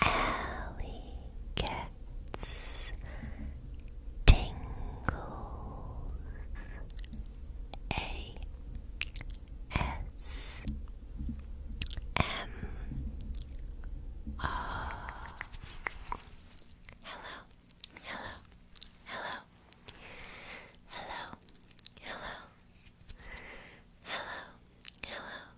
Alley gets tingles. A S M R. hello, hello, hello, hello, hello, hello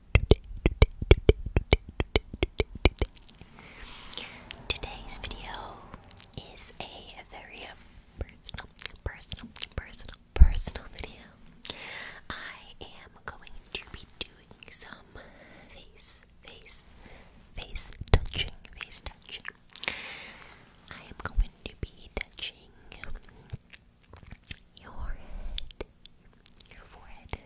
Today's video is a very um, personal, personal, personal, personal video. I am going to be doing some face, face, face touching, face touching. I am going to be touching your head, your forehead,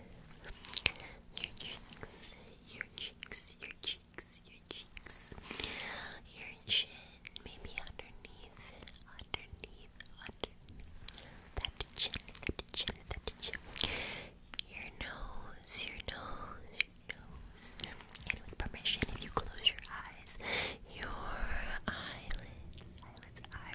your cheeks, your cheeks, your cheeks, your cheeks, your chin, maybe underneath, underneath, underneath that chin, that chin, that chin, your nose, your nose, your nose, and with permission, if you close your eyes, your eyelids, eyelids, eyelids.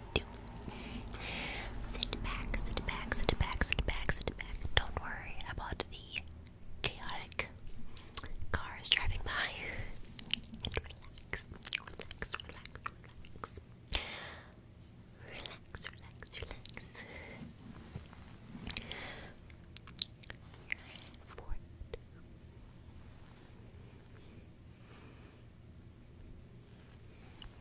Sit back, sit back, sit back, sit back, sit back. Don't worry about the chaotic cars driving by. relax, relax, relax, relax. Relax, relax, relax. Forehead. Forehead.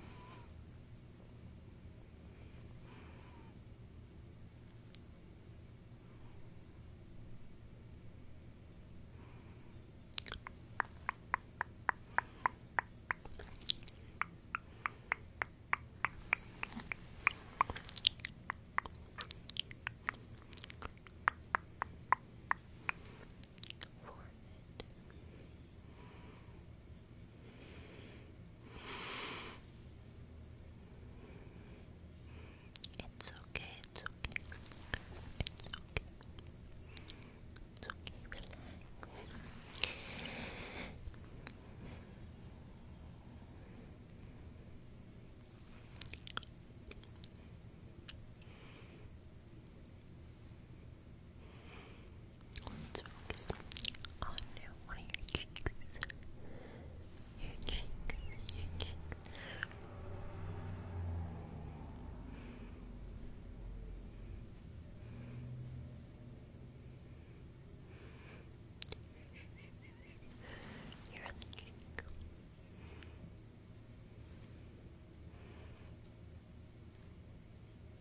It's okay, it's okay. It's okay. It's okay, relax. Let's focus on one of your cheeks. Your cheeks, your cheeks. Your cheek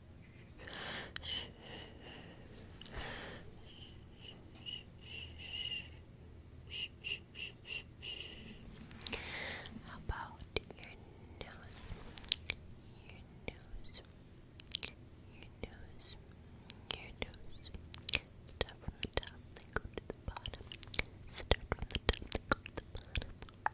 How about your nose? Your nose. Your nose. Your nose. Start from the top, go to the bottom. Start from the top, go to the bottom.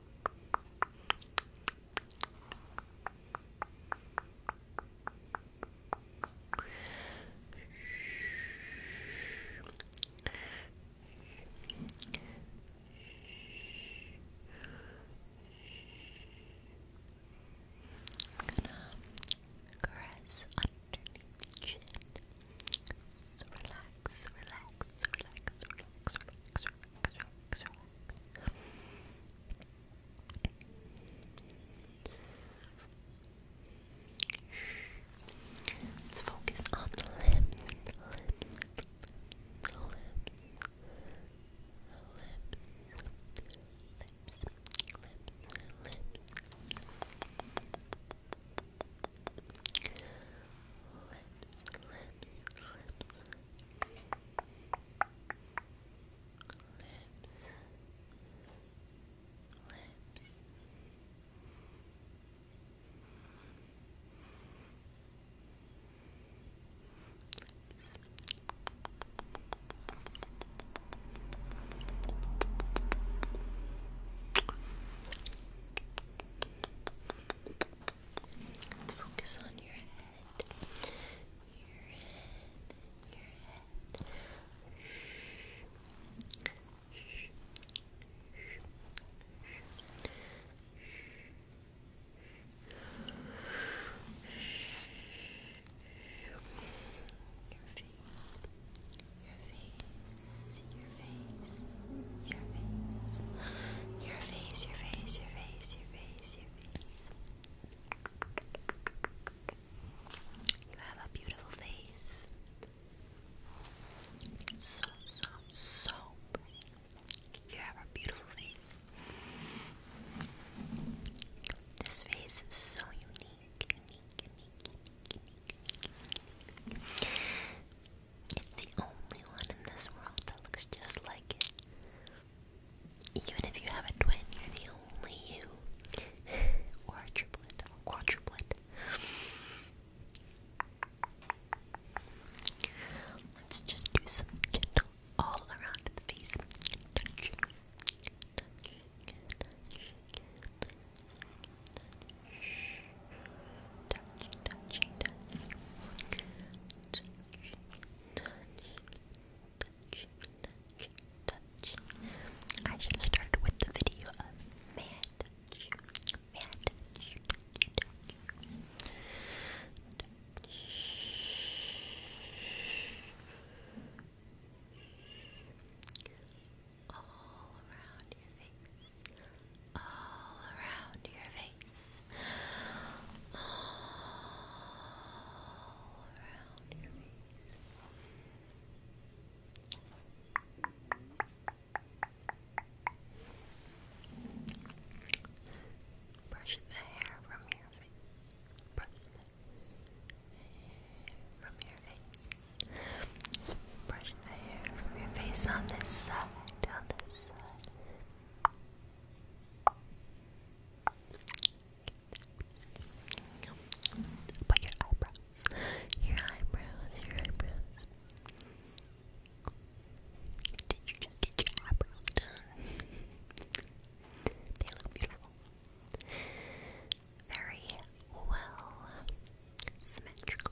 I'm gonna caress underneath the chin relax, relax, relax, relax, relax, relax, relax, Let's focus on the limbs, the limbs, the lips, lips, lips lips, lips, lips, lips. Lips. Let's focus on your head. Your head. Your head. Shh. Shh. Shh. Your face, your face, face, your face, your face, your face, your face, your face, your face. You have a beautiful face. So, so, so pretty. You have a beautiful face. This face is so unique, unique, unique, unique, unique, unique. It's the only one in this world that looks just like it. Even if you have a twin, you're the only you. or a triplet, or quadruplet. Let's just do some kindle all around the face. Shh. Touchy, touchy, touchy. Touchy, touchy, touchy, touchy, I should have started with the video of all around your face. All around your face. Brush the hair from your face. Brush the hair from your face brushing the hair from your face on this side, on this side. But your eyebrows, your eyebrows, your eyebrows. Did you just get your eyebrows done? they look beautiful. Very well symmetrical.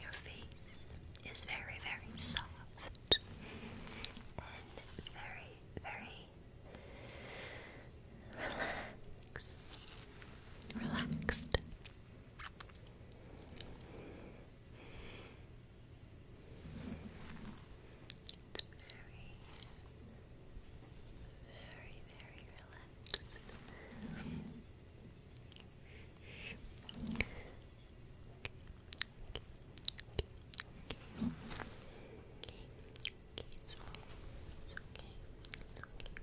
Your face is very, very soft and very, very Relax. Relaxed. It's very, very, very relaxed okay, it's okay,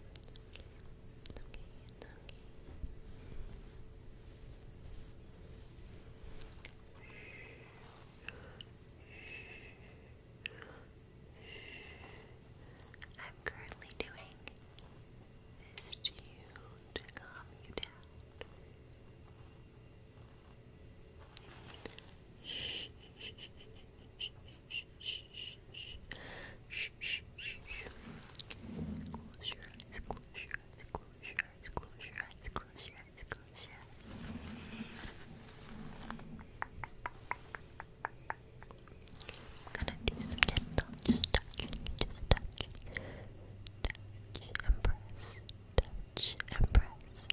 I'm currently doing this to to calm you down. Shh, shh, shh. Close your eyes, close your eyes, close your eyes, close your eyes, close your eyes, close your eyes. I'm gonna do some gentle, just touch, just touch, touch and press, touch and press,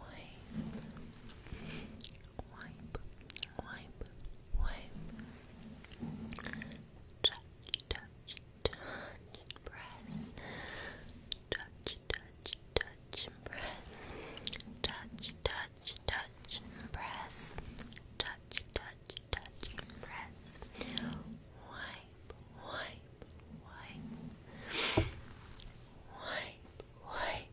wipe, wipe, wipe, touch, touch, touch, press, touch, touch, touch, press, touch, touch, touch, press, touch, touch, touch, press, wipe, wipe, wipe. Wipe, wipe,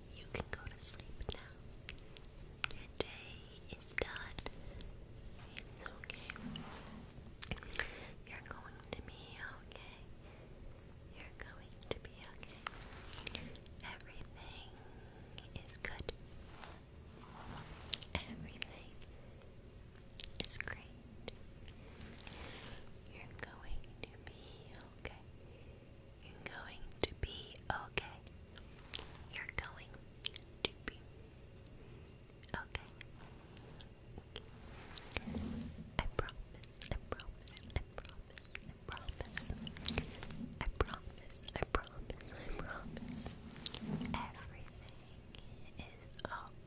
You can go to sleep now. Your day is done. It's okay. You're going to be okay. You're going to be okay. Everything is good. Everything is great. You're going to be okay. You're going to be okay. You're going to be okay. I promise, I promise, I promise, I promise. I promise, I promise, I promise. Everything is Okay.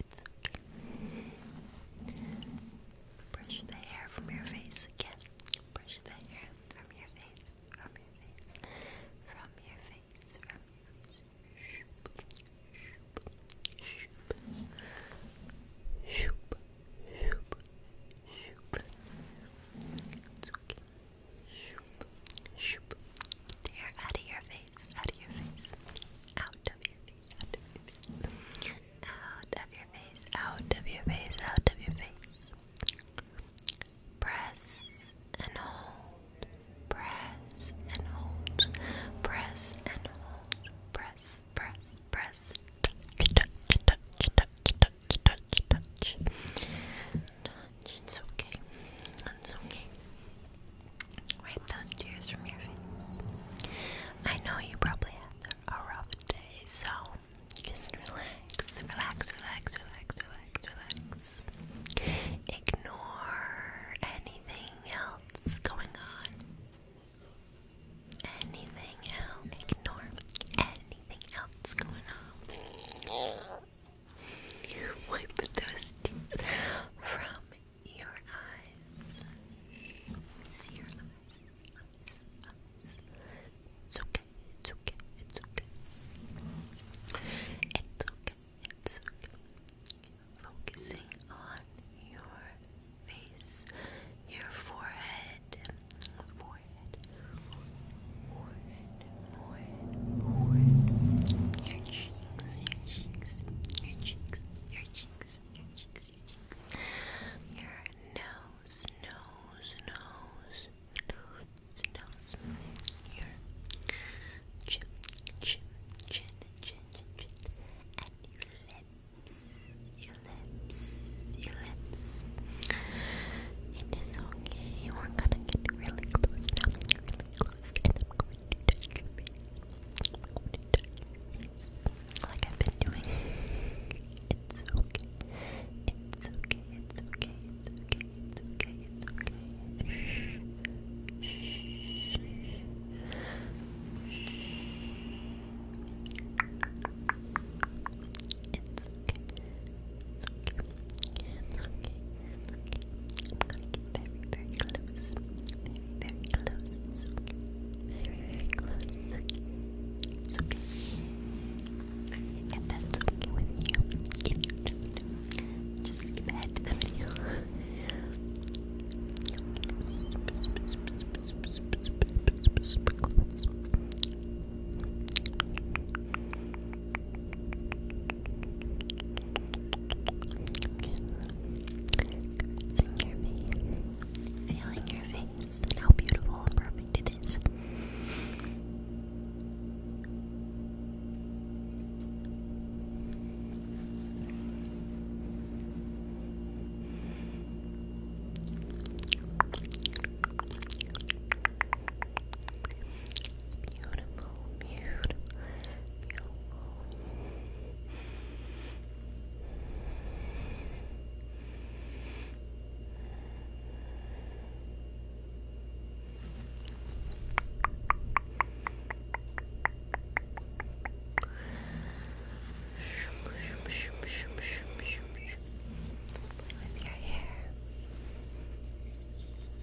It's okay. Brush the hair from your face again. Brush the hair from your face, from your face, from your face, from your face. Shoop, shoop, shoop, shoop, shoop, shoop. It's okay. Shoop, shoop, they're out of your face, out of your face, out of your face, out of your face, out of your face, out of your face, out of your face. Press and hold, press and hold, press and hold, press, press, press, touch, touch, touch, touch, touch, touch, touch. Touch, it's okay, it's okay. Wipe those tears from your face. I know you probably had a rough day, so just relax, relax, relax, relax, relax, relax. Ignore anything else going on. Anything else? Ignore anything else going on. Wipe those tears from your eyes. See your eyes, It's okay, it's okay, it's okay. It's okay, it's okay. Focusing on your face, your forehead, forehead, forehead, forehead, cheeks, your cheeks, your cheeks, your cheeks, your cheeks, your cheeks, your nose, nose, nose, nose, nose, your chin, chin, chin, chin, chin, and your lips, your lips, your lips. It is okay. We're gonna get really close now. Really close and like I've been doing. It's okay. It's okay. It's okay. It's okay. It's okay. It's okay. It's okay. It's okay. I'm gonna get very, very close. Very, very close. It's okay. Very, very close. It's okay. It's that's okay with you, if you don't, to the video. Cursing your face, feeling your face, how beautiful and perfect it is beautiful, beautiful, beautiful. Play with your hair. Play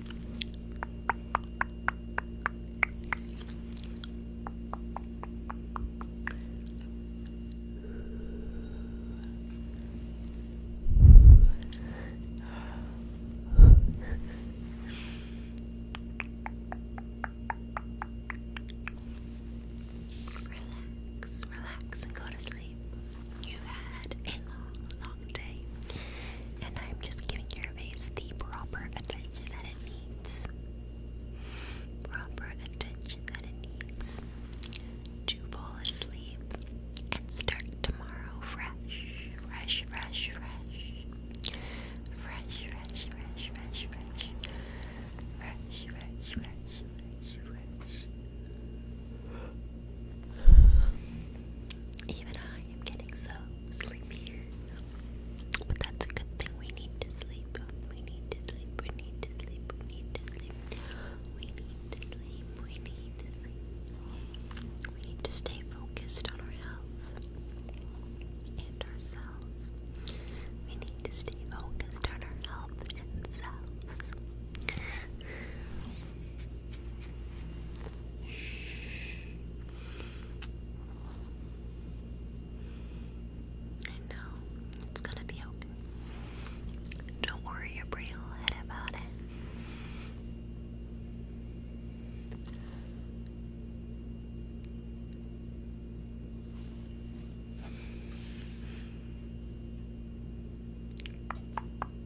Relax, relax, and go to sleep. you had a long, long day, and I'm just giving your conveys the proper attention that it needs. Proper attention that it needs to fall asleep and start tomorrow fresh, fresh, fresh, fresh, fresh, fresh, fresh, fresh, fresh, fresh, fresh, fresh, fresh, fresh. Even I I am getting so sleepy. But that's a good thing. We need to sleep. We need to sleep. We need to sleep. We need to sleep. We need to sleep. We need to sleep. We need to stay focused on our health and ourselves. We need to stay focused on our health and selves. Shh. I know. It's gonna be okay. Don't worry your pretty little head about it.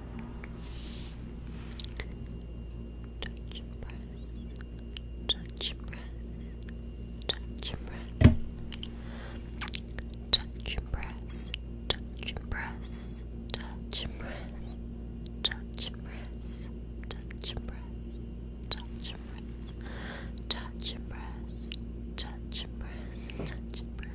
Touch and press, touch and press, touch and press, touch and press, touch and press, touch and press, touch and press, touch and press, touch and press, touch and press, touch and press, touch and press, touch and press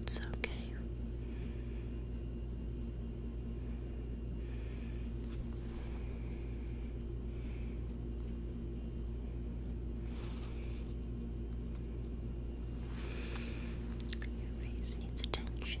It's okay. Your face needs attention.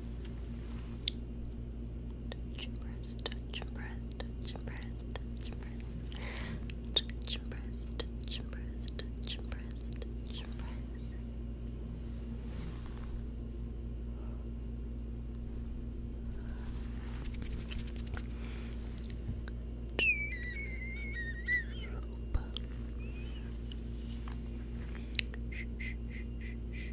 Touch and press, touch and press, touch and press, touch and press. Touch and press, touch and press, touch and press, touch and press. Rope. Close your eyes.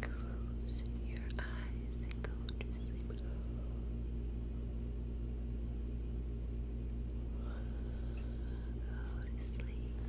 Close your eyes go to sleep. Go to sleep.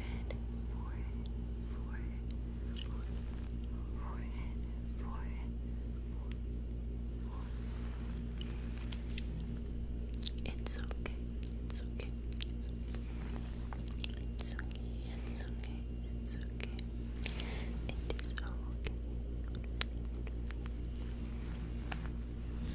It's okay, it's okay, it's okay. It's okay, it's okay, it's okay. It is okay.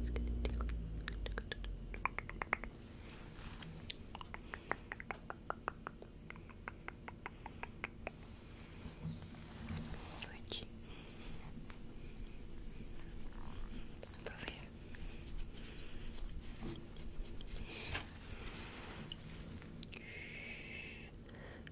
It's going Over here.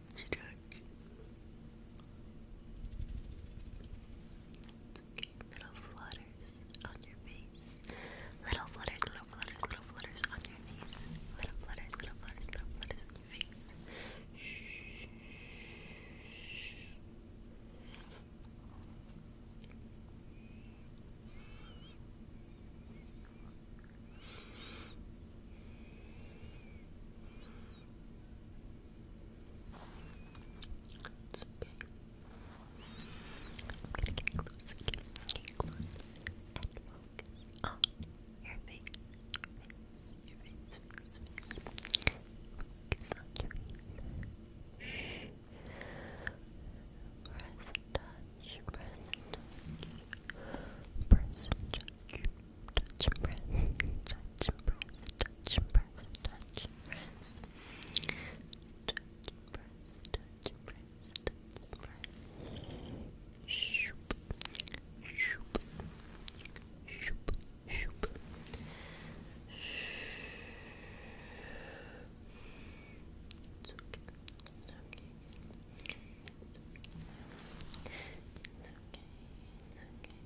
Let's little flutters on your face. Little flutters, little flutters, little flutters on your face. Little flutters, little flutters, little flutters on your face. Shh. It's okay. I'm gonna get close again. Get close your face. Your face, your face, Press touch, press touch, touch and press, touch and press, touch and press, touch and press, touch and press, touch and press, touch and press, shoop, shoop, shoop, shoop. It's It's okay. It's okay. It's okay. It's okay.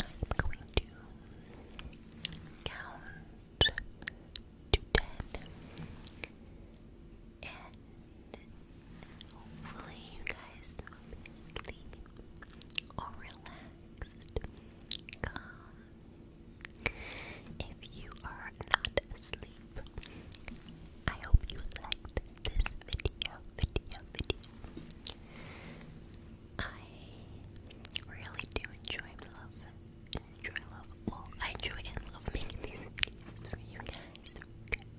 I'm going to count to ten, and hopefully you guys sleep or relaxed, calm. If you are not asleep, I hope you liked this video, I really do enjoy love, enjoy love all. I enjoy and love making videos for you guys,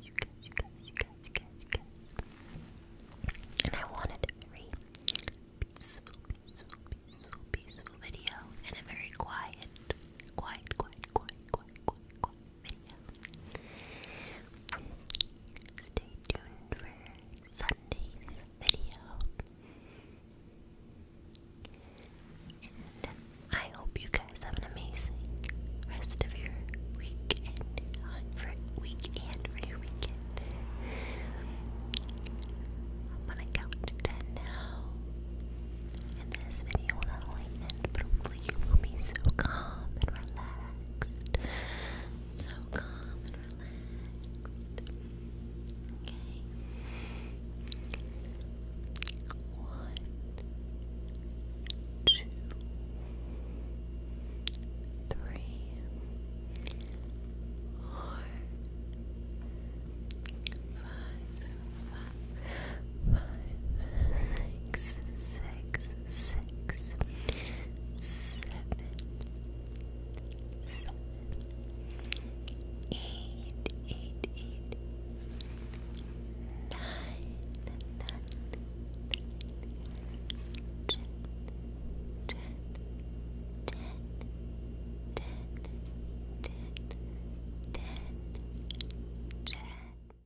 you guys, you guys, you guys, you guys, you guys, you guys. And I wanted a very peaceful, peaceful, peaceful, peaceful video, and a very quiet, quiet, quiet, quiet, quiet, quiet video. Stay tuned for Sunday's video. And I hope you guys have an amazing rest of your week and for week and for weekend. I'm gonna count to ten now. And this video will end you will be so calm and relaxed. So calm and relaxed. Okay. One, two, three, four, five, five, five, six, six, six, seven, seven, eight, eight, eight, nine, nine, nine, ten, ten, ten, ten, ten, ten, ten.